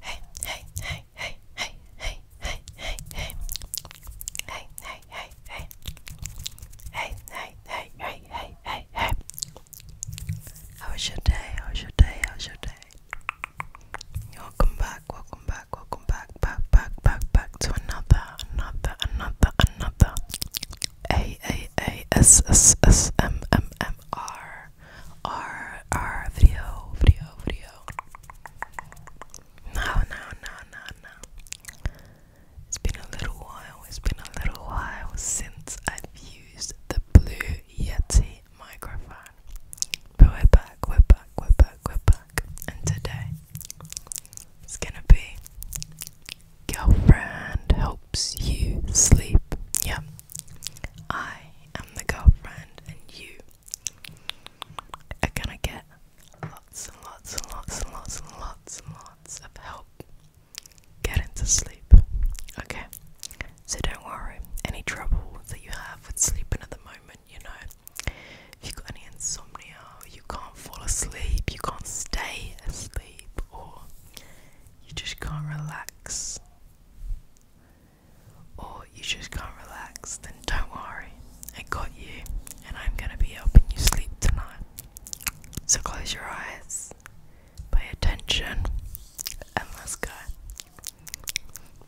Hey, hey, hey, hey, hey, hey, hey, hey, hey. Hey, hey, hey, hey. Hey, hey, hey, hey, hey, hey, hey. How was your day? How was your day? How was your day? Welcome back, welcome back, welcome back, back, back, back, back to another, another, another, another. A A A S S S M M M R our our video video video. No no no no no. It's been a little while. It's been a little while since I've used the Blue Yeti microphone. But we're back. We're back. We're back. We're back. And today it's gonna be girlfriend helps you sleep. Yeah, I am the girlfriend, and you are gonna get lots and lots and lots and lots and lots and lots of help getting to sleep. Okay? So don't worry, any trouble that you have with sleeping at the moment, you know, if you've got any insomnia, you can't fall asleep, you can't stay asleep, or you just can't relax or you just can't relax, then don't worry, I got you, and I'm gonna be helping you sleep tonight. So close your eyes, pay attention, and let's go.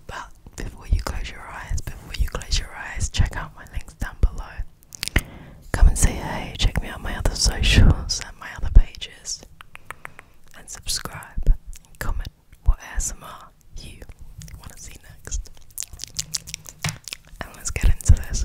But before you close your eyes, before you close your eyes, check out my links down below. Come and say hey, check me out my other socials and my other pages and subscribe and comment what ASMR you want to see next. And let's get into this.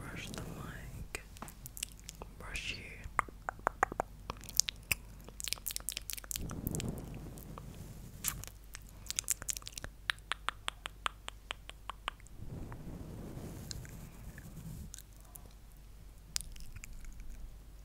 Brush the mic. Brush you.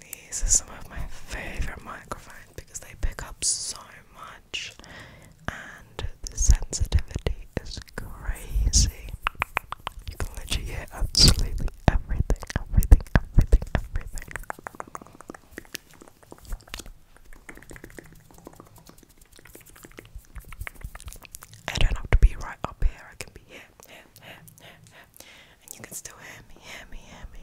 These are some of my favorite microphones because they pick up so much and the sensitivity is crazy. You can literally hear absolutely everything, everything, everything, everything. I don't have to be right up here, I can be here, here, here, here, And you can still hear me, hear me, hear me.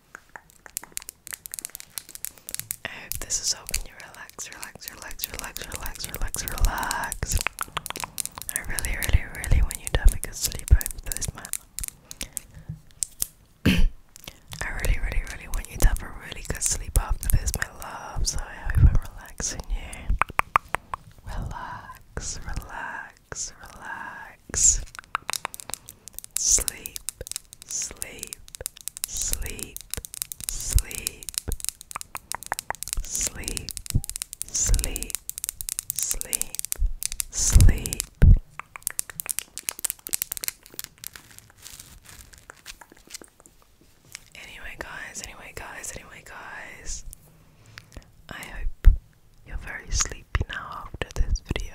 I hope this is helping you relax, relax, relax, relax, relax, relax, relax. I really, really, really want you to have a good sleep over this month. I really, really, really want you to have a really good sleep after this, my love. So I hope I'm relaxing you. Relax, relax relax, relax. Sleep, sleep, sleep, sleep. Sleep, sleep, sleep, sleep. Anyway, guys, anyway, guys, anyway, guys, I hope you're very sleepy now after this video.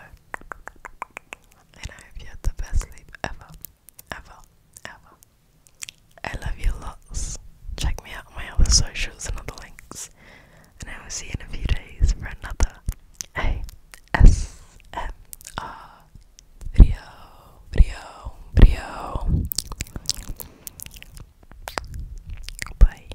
And I hope you had the best sleep ever, ever, ever. I love you lots. Check me out on my other socials and other links. And I will see you in a few days for another ASMR video, video, video. Bye.